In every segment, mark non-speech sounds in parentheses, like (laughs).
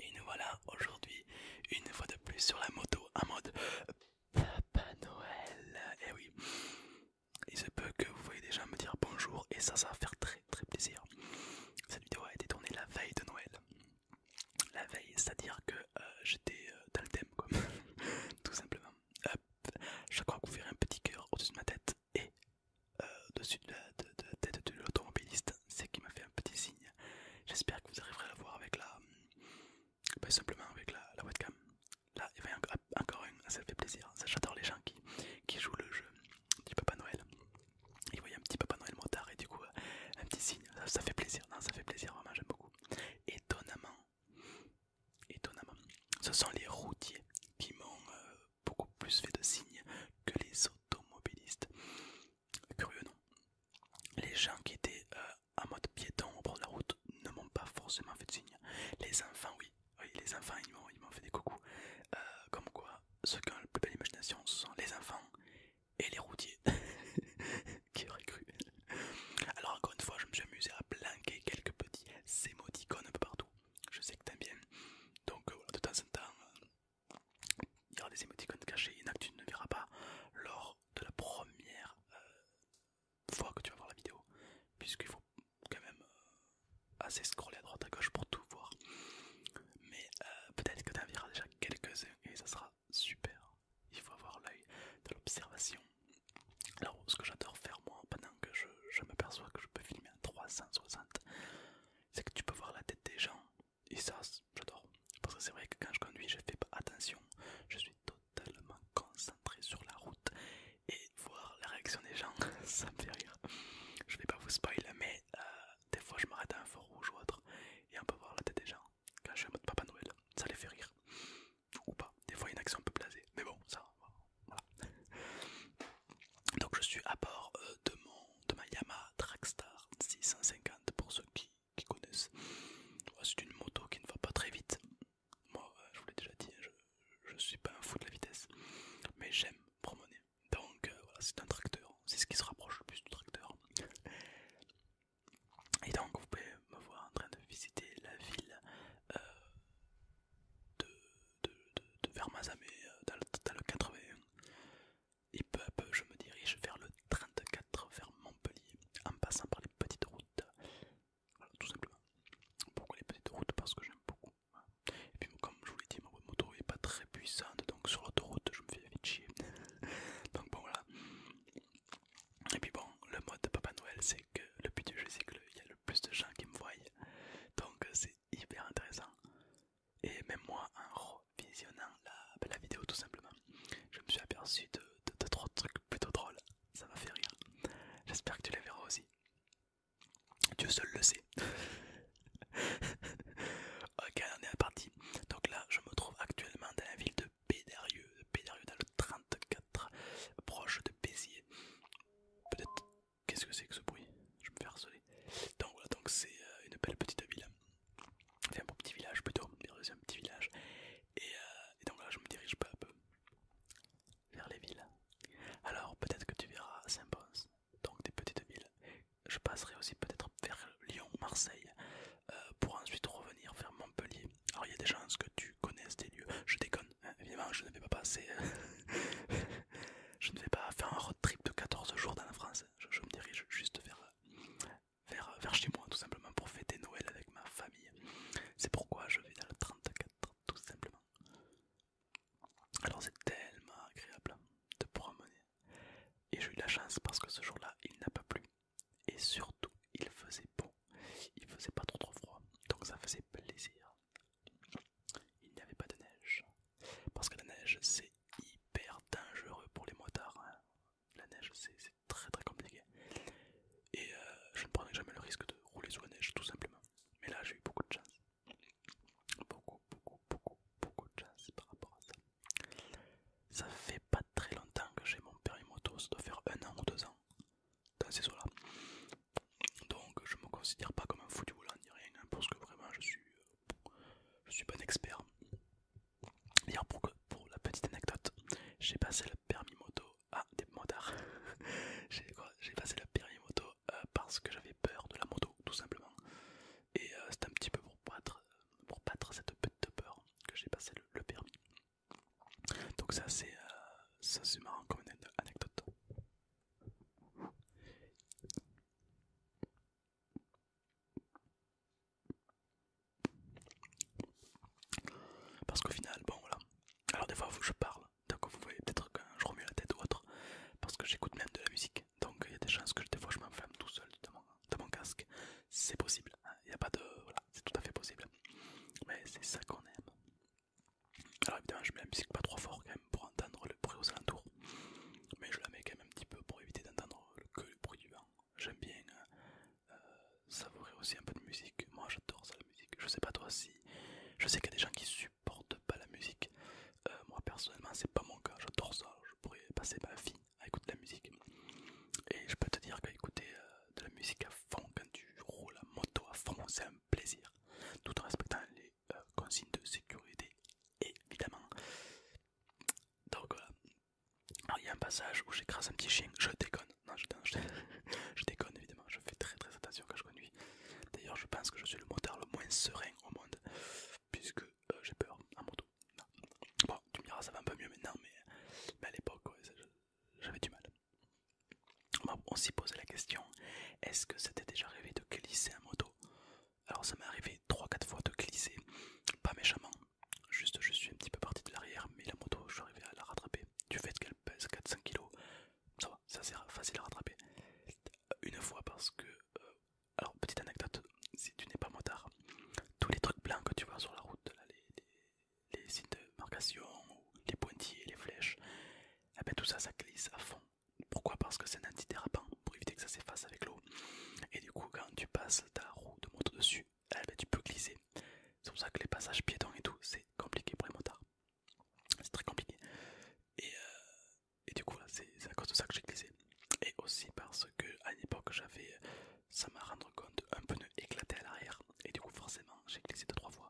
Et nous voilà aujourd'hui une fois de plus sur la moto en mode Papa Noël. Et eh oui, il se peut que vous voyez déjà me dire bonjour et ça, ça va faire très très plaisir. Cette vidéo a été tournée la veille de Noël. La veille, c'est-à-dire que euh, j'étais euh, dans le thème, quoi. (laughs) tout simplement. je crois que vous verrez un petit cœur au-dessus de ma tête et au-dessus de, la tête de l'automobiliste, c'est qu'il m'a fait un petit signe. J'espère que vous arriverez à le voir avec la. Ben, simplement avec la, webcam. Là, il y en a encore un, ça fait plaisir. Hein. J'adore les gens qui, jouent le jeu du Papa Noël. Ils voyaient un petit Papa Noël motard et du coup, euh, un petit signe. Ça, fait plaisir, ça fait plaisir, vraiment, j'aime beaucoup. Étonnamment, étonnamment, ce sont les routiers qui m'ont euh, beaucoup plus fait de signes que les automobilistes. Curieux, non Les gens qui étaient à euh, en mode piéton au bord de la route ne m'ont pas forcément fait de signes. Les enfants, oui, les enfants, ils m'ont fait des coucous. Euh, comme quoi, ceux qui ont la plus belle imagination, sont les enfants et les routiers. (laughs) qui aurait cru Alors, encore une fois, je me suis amusé à blanquer quelques petits émoticônes un peu partout. Je sais que t'aimes bien. Donc, euh, voilà, de temps en temps, il y aura des émoticônes cachés, il y en a que tu ne verras pas lors de la première euh, fois que tu vas voir la vidéo, puisqu'il faut quand même euh, assez scroller à droite à gauche pour tout voir. Mais euh, peut-être que tu en verras déjà quelques-uns et ça sera super. Il faut avoir l'œil de l'observation. Alors, ce que j'adore faire moi pendant que je, je perçois que je peux filmer à 360, c'est que tu peux voir la tête des gens. Et ça, j'adore. Parce que c'est vrai que quand je conduis, je fais pas attention. Je suis totalement concentré sur la route. Et voir la réaction des gens, (laughs) ça me fait rire. Je vais pas vous spoiler mais euh, des fois je m'arrête à un fort rouge ou autre. Et on peut voir la tête des gens. Quand je suis en mode Papa Noël, ça les fait rire. Ou pas. Des fois, une action peut peu Mais bon, ça, voilà. Donc je suis à bord euh, de, mon, de ma Yamaha Trackstar 650 pour ceux qui, connaissent. C'est une moto qui ne va pas très vite. Moi, euh, je vous l'ai déjà dit, hein, je ne suis pas un fou de la vitesse, mais j'aime promener. Donc euh, voilà, c'est un tracteur, c'est ce qui se rapproche le plus du tracteur. Et donc vous pouvez me voir en train de visiter la ville de de, de Vermazamé dans, euh, le 81. Et peu à peu, je me dirige vers le 34, vers Montpellier, en passant par les petites routes. Voilà, tout simplement. Pourquoi les petites routes Parce que j'aime beaucoup. Et puis, comme je vous l'ai dit, ma moto est pas très puissante, donc sur l'autoroute, je me fais vite chier. (laughs) donc, bon, voilà. Et puis, bon, le mode de Papa Noël, c'est que le but du jeu, c'est y a le plus de gens qui me voient. Donc, c'est hyper intéressant et même moi en revisionnant la, la vidéo tout simplement, je me suis aperçu de, trois trucs plutôt drôles, ça m'a fait rire. J'espère que tu les verras aussi. Dieu seul le sait. (laughs) ok, on est parti. Donc là, je me trouve actuellement dans la ville de Pédérieux, Pédérieux dans le 34, proche de Béziers. Peut-être Qu'est-ce que c'est que ce bruit Je me fais harceler. Donc voilà, donc c'est euh, une belle petite ville. Enfin, un petit village plutôt, un petit village. Euh, et, donc là, je me dirige peu à peu vers les villes. Alors peut-être que tu verras Saint-Pons, donc des petites villes. Je passerai aussi peut-être vers Lyon, Marseille, euh, pour ensuite revenir vers Montpellier. Alors il y a des chances que tu connaisses des lieux. Je déconne, hein, évidemment, je ne vais pas passer (laughs) je ne vais pas faire un road trip de 14 jours dans la France. Je, me dirige juste vers, vers, chez moi, tout simplement, pour fêter Noël avec ma famille. C'est pourquoi je vais dans le 34, tout simplement. Alors c'est tellement agréable de promener. Et j'ai eu la chance parce que ce jour-là, il n'a pas plu. Et surtout, il faisait beau. Il faisait pas trop trop froid. Donc ça faisait plaisir il n'y avait pas de neige. Parce que la neige c'est hyper dangereux pour les motards. Hein. La neige c'est très très compliqué. Et euh, je ne prendrais jamais le risque de rouler sous la neige tout simplement. Mais là j'ai eu beaucoup de chance. Beaucoup, beaucoup, beaucoup, beaucoup de chance par rapport à ça. Ça fait pas très longtemps que j'ai mon permis moto, ça doit faire un an ou deux ans dans ces eaux là. Donc je me considère pas comme un fou du volant ni rien, hein, parce que vraiment je suis, bon suis expert. D'ailleurs pour, la petite anecdote, j'ai passé le permis moto à des motards. (laughs) j'ai passé le permis moto parce que j'avais peur de la moto tout simplement. Et euh, c'est un petit peu pour battre, pour battre cette petite peur que j'ai passé le, permis. Donc ça c'est euh, marrant comme anecdote. Parce qu'au final, bon voilà. Alors des fois je parle, donc vous voyez peut-être que je remue la tête ou autre, parce que j'écoute même de la musique, donc il y a des chances que des fois je m'enflamme tout seul dans mon, casque. C'est possible, hein. il n'y a pas de... Voilà, c'est tout à fait possible. Mais c'est ça qu'on aime. Alors évidemment je mets la musique pas trop fort quand même pour entendre le bruit aux alentours, mais je la mets quand même un petit peu pour éviter d'entendre que le bruit du vent. J'aime bien euh, euh, savourer aussi un peu de musique, moi j'adore ça la musique, je sais pas toi si... Je sais qu'il y a des gens qui supportent pas la musique, euh, moi personnellement c'est pas mon cas, j'adore ça, je pourrais passer ma vie à écouter de la musique. Et je peux te dire qu'écouter de la musique à fond, quand tu roules à moto à fond, c'est un plaisir, tout en respectant les euh, consignes de sécurité, évidemment. Donc il y a un passage où j'écrase un petit chien, je déconne, non (laughs) je, déconne évidemment, je fais très très attention quand je conduis. D'ailleurs je pense que je suis le moteur le moins serein au monde, puisque euh, j'ai peur en moto. Bon, tu me ça va un peu mieux maintenant, mais, à l'époque j'avais du mal on s'y posait la question est-ce que c'était déjà arrivé de glisser en moto Alors ça m'est arrivé 3-4 fois de glisser, pas méchamment, juste je suis un petit peu parti de l'arrière, mais la moto je suis arrivé à la rattraper. Du fait qu'elle pèse 400 kg, ça va, c'est facile à rattraper. Une fois parce que, euh, alors petite anecdote, si tu n'es pas motard, tous les trucs blancs que tu vois sur la route, les, signes de marcation, les pointillés, les flèches, eh ben, tout ça, ça glisse à fond. Pourquoi Parce que c'est un antidérapant pour éviter que ça s'efface avec l'eau. Et du coup, quand tu passes ta roue de moto dessus, eh ben, tu peux glisser. C'est pour ça que les passages piétons et tout, c'est compliqué pour les motards. C'est très compliqué. Et, euh, du coup, c'est à cause de ça que j'ai glissé. Et aussi parce que à une époque, j'avais, ça m'a rendu compte, un pneu éclaté à l'arrière. Et du coup, forcément, j'ai glissé 2 trois fois.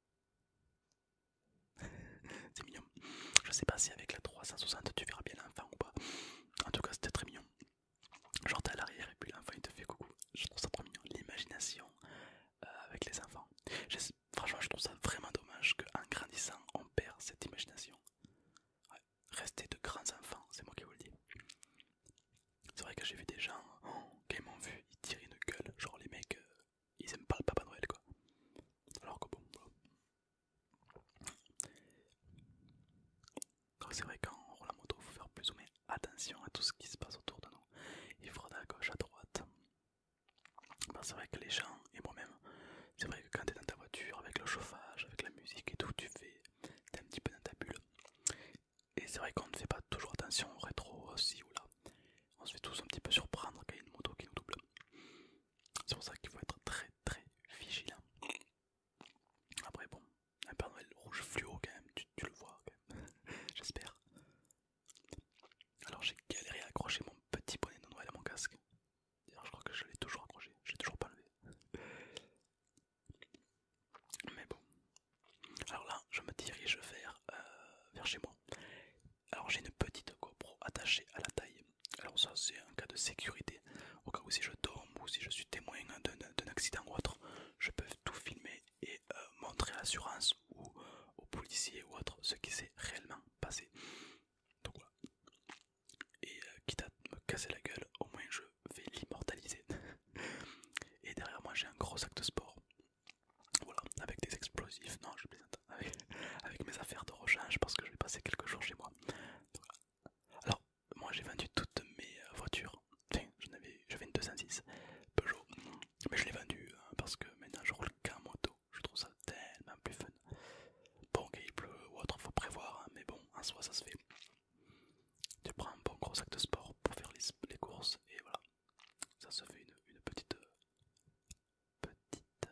(laughs) c'est mignon. Je sais pas si avec la 360 tu verras bien l'enfant ou pas. En tout cas, c'était très mignon. Genre, t'es à l'arrière et puis l'enfant il te fait coucou. Je trouve ça trop mignon. L'imagination euh, avec les enfants. Franchement, je trouve ça vraiment dommage qu'en grandissant, on perd cette imagination. Rester de grands enfants, c'est moi qui vous le dis. C'est vrai que j'ai vu des gens, oh, qui m'ont vu, tirer une gueule. Genre, les mecs, euh, ils n'aiment pas le Papa Noël quoi. Alors que bon, c'est vrai qu'en roule la moto, il faut faire plus ou moins attention à tout ce qui se passe autour de nous. Il freine à gauche, à droite. Ben, c'est vrai que les gens, et moi-même, c'est vrai que quand t'es dans ta voiture, avec le chauffage, avec la musique et tout, tu fais, t'es un petit peu dans ta bulle. Et c'est vrai qu'on ne fait pas toujours attention au rétro, aussi ou là on se fait tous un petit peu surprendre qu'il y a une moto qui nous double. C'est pour ça qu'il faut être très très vigilant. Après bon, un Père Noël rouge fluo quand même, tu, le vois quand même, (laughs) j'espère. Alors j'ai galéré à accrocher mon petit bonnet de Noël à mon casque. D'ailleurs je crois que je l'ai toujours accroché, je l'ai toujours pas levé. Mais bon. Alors là je me dirige vers euh, chez moi. Alors j'ai une petite GoPro attachée à la taille. Alors ça c'est un cas de sécurité. Au cas où si je tombe ou si je suis témoin d'un accident ou autre, je peux tout filmer et euh, montrer à l'assurance ou aux policiers ou autre ce qui s'est réellement passé. Donc voilà. Et euh, quitte à me casser la gueule, au moins je vais l'immortaliser. (laughs) et derrière moi j'ai un gros sac de sport. Voilà, avec des explosifs, non je plaisante, avec, (laughs) mes affaires de rechange parce que je vais passer quelques jours chez moi. alors, moi j'ai vendu toutes mes euh, voitures, enfin j'en avais, j'avais une 206 Peugeot, mais je l'ai vendue euh, parce que maintenant je roule qu'en moto, je trouve ça tellement plus fun. Bon, gameplay ou autre, faut prévoir, hein, mais bon, en soi ça se fait. Tu prends un bon gros sac de sport pour faire les courses et voilà ça se fait une, petite euh, petite euh,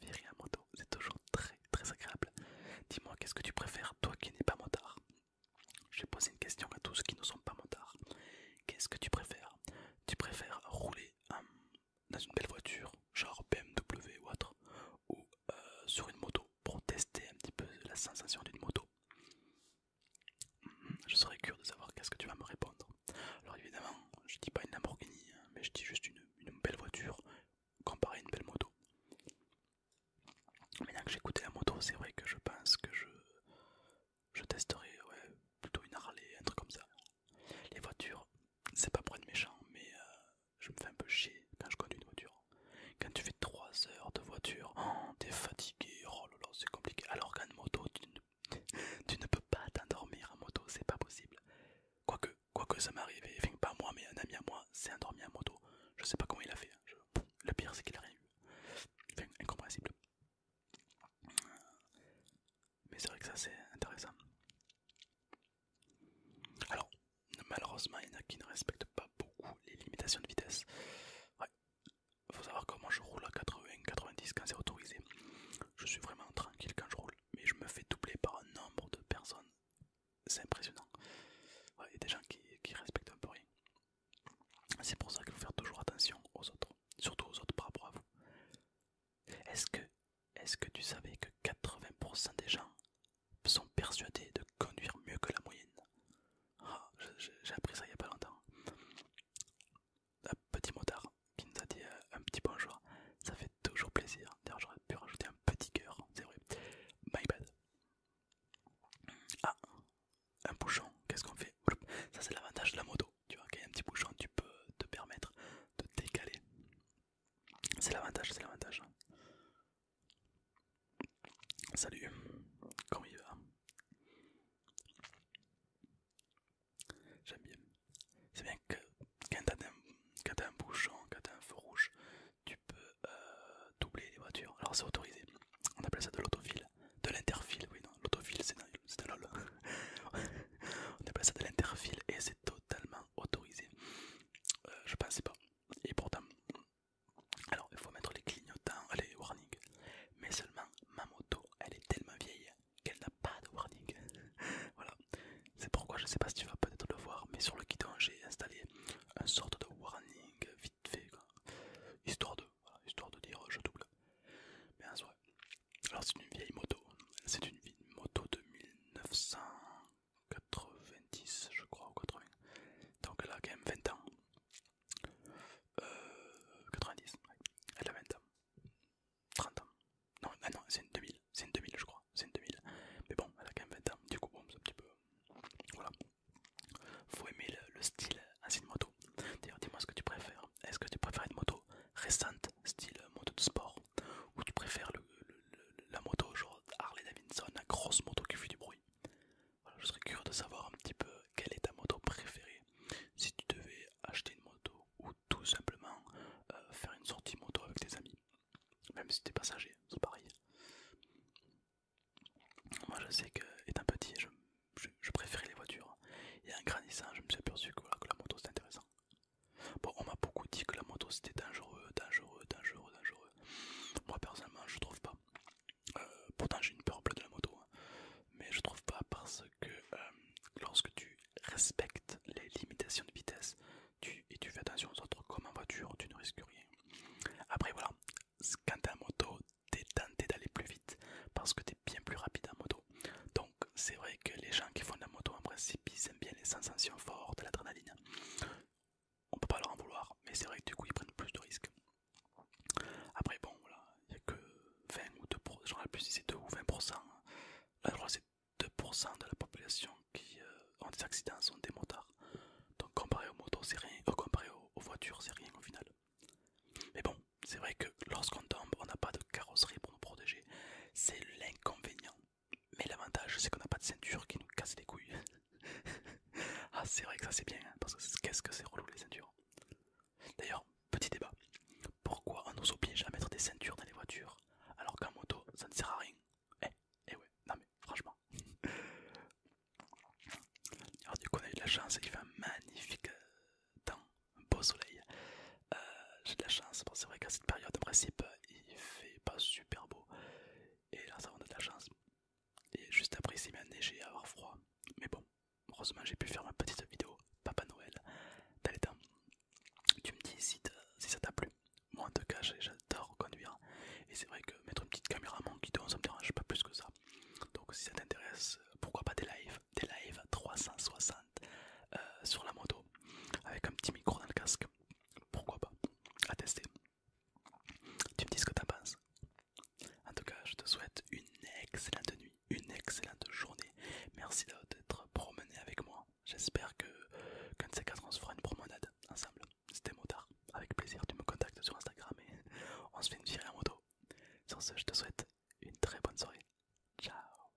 virée à moto. C'est toujours très très agréable. Dis-moi, qu'est-ce que tu préfères, toi qui n'es pas motard j'ai posé une question à tous qui ne sont pas motards. Qu'est-ce que tu préfères Tu préfères rouler euh, dans une belle voiture, genre BMW ou autre, ou sur une moto pour tester un petit peu la sensation d'une moto je serais curieux de savoir qu'est-ce que tu vas me répondre. Alors évidemment, je dis pas une Lamborghini, hein, mais je dis juste une, belle voiture comparée à une belle moto. Maintenant que j'ai écouté la moto, c'est vrai que je pense que je, je testerai plutôt une Harley, un truc comme ça. Les voitures, c'est pas pour être méchant, mais euh, je me fais un peu chier quand je conduis une voiture. Quand tu fais 3 heures de voiture, oh, t'es fatigué, oh Oh c'est compliqué. Alors qu'en moto, (laughs) tu ne, peux pas t'endormir en moto, c'est pas possible. Quoique, quoique ça m'est arrivé, enfin pas moi, mais un ami à moi s'est endormi en moto. Je sais pas comment il a fait. Hein. Le pire, c'est qu'il a rien eu. Enfin, incompréhensible. Mais c'est vrai que ça, c'est intéressant. Alors, malheureusement, il y en a qui ne respectent pas beaucoup les limitations de vitesse. Ouais, faut savoir que moi je roule à 80, 90 quand c'est autorisé. Je suis vraiment tranquille quand je roule, mais je me fais doubler par un nombre de personnes. C'est impressionnant. Il y a des gens qui, respectent un peu rien. C'est pour ça qu'il faut faire toujours attention aux autres, surtout aux autres par rapport à vous. Est-ce que, est que tu savais que 80% des gens sont persuadés de conduire mieux que la moyenne Oh, j'ai appris ça il n'y a pas longtemps. Un petit motard qui nous a dit euh, un petit bonjour, ça fait toujours plaisir. D'ailleurs, j'aurais pu rajouter un petit cœur, c'est vrai. My bad. Ah, un bouchon, qu'est-ce qu'on fait Ça, c'est l'avantage de la moto. Tu vois, quand il y a un petit bouchon, tu peux te permettre de décaler. C'est l'avantage, c'est l'avantage. Salut, comment il va J'aime bien. C'est bien que quand t'as un, un bouchon, quand t'as un feu rouge, tu peux euh, doubler les voitures. Alors c'est autorisé. On appelle ça de l'autofile. De l'interfile, oui non, l'autofile c'est de lol. (laughs) On appelle ça de l'interfile et c'est totalement autorisé. Euh, je pensais pas. Et pourtant, alors il faut mettre les clignotants, euh, les warnings. Mais seulement ma moto, elle est tellement vieille qu'elle n'a pas de warning. (laughs) voilà. C'est pourquoi je sais pas si tu vas peut-être le voir, mais sur le guidon j'ai installé un sorte de warning vite fait, histoire de, histoire de dire euh, je double. Mais en alors c'est une vieille moto. C'est une vieille moto de 1990, je crois, 80. Donc elle a quand même 20 ans. 90, euh, Elle a 20 ans. 30 ans. Non, ah non, c'est une 2000. C'est une 2000, je crois. C'est une 2000. Mais bon, elle a quand même 20 ans. Du coup, bon, c'est un petit peu. Voilà. Faut aimer le, style ainsi de moto. D'ailleurs, dis-moi ce que tu préfères. Est-ce que tu préfères une moto récente, style moto de sport Ou tu préfères la moto genre Harley Davidson, grosse moto qui fait du bruit je serais curieux de savoir un petit peu quelle est ta moto préférée. Si tu devais acheter une moto ou tout simplement euh, faire une sortie moto avec tes amis, même si es passager, c'est pareil. Moi je sais que étant petit, je, préférais les voitures. Et en grandissant, je me suis aperçu que, la moto c'était intéressant. Bon, on m'a beaucoup dit que la moto c'était dangereux, dangereux, dangereux, dangereux. Moi personnellement, je trouve pas. Euh, pourtant j'ai une peur bleue de la moto, hein. mais je trouve pas parce que euh, lorsque tu respectes les limitations de vitesse tu, et tu fais attention aux autres comme en voiture, tu ne risques rien. Après voilà, quand as en moto, es tenté d'aller plus vite parce que tu es bien plus rapide en moto. Donc c'est vrai que les gens qui font de la moto en principe ils aiment bien les sensations fortes, de l'adrénaline on peut pas leur en vouloir, mais c'est vrai que du coup ils prennent plus de risques. Après, bon, voilà, il n'y a que 20 ou deux pour cent, plus hein. c'est 2 ou 20%. Là, c'est 2% de la population qui euh, ont des accidents sont des motards. Donc, comparé aux motos, c'est rien, euh, aux voitures, c'est rien au final. Mais bon, c'est vrai que lorsqu'on tombe, on n'a pas de carrosserie pour nous protéger, c'est l'inconvénient. Mais l'avantage, c'est qu'on n'a pas de ceinture qui nous casse les couilles. (laughs) ah, c'est vrai que ça c'est bien, hein, parce que qu'est-ce que c'est relou les ceintures. D'ailleurs, petit débat pourquoi on nous oblige à mettre des ceintures dans les voitures alors qu'en moto ça ne sert à rien Eh, eh ouais, non mais franchement. (laughs) Alors, du coup, on a eu de la chance, il fait un magnifique euh, temps, un beau soleil. Euh, j'ai de la chance, c'est vrai qu'à cette période, en principe, il fait pas super beau. Et là, ça, on a de la chance. Et juste après, s'il s'est à avoir froid. Mais bon, heureusement, j'ai pu faire ma petite vidéo Papa Noël t'as les Tu me dis si, ça t'a plu. Moi, en tout cas, j'adore conduire. Et c'est vrai que mettre une petite caméra à mon guidon, ça me dérange pas plus que ça. Donc, si ça t'intéresse, pourquoi pas des lives Des lives 360 euh, sur la moto avec un petit micro dans le casque. Pourquoi pas À tester. Tu me dis ce que t'en penses. En tout cas, je te souhaite une excellente nuit, une excellente journée. Merci d'être promené avec moi. J'espère que de ces quatre, on se fera une promenade ensemble. C'était Motard. Avec plaisir, tu me contactes sur Instagram et (laughs) on se fait une virée en moto. Sur ce, je te souhaite une très bonne soirée. Ciao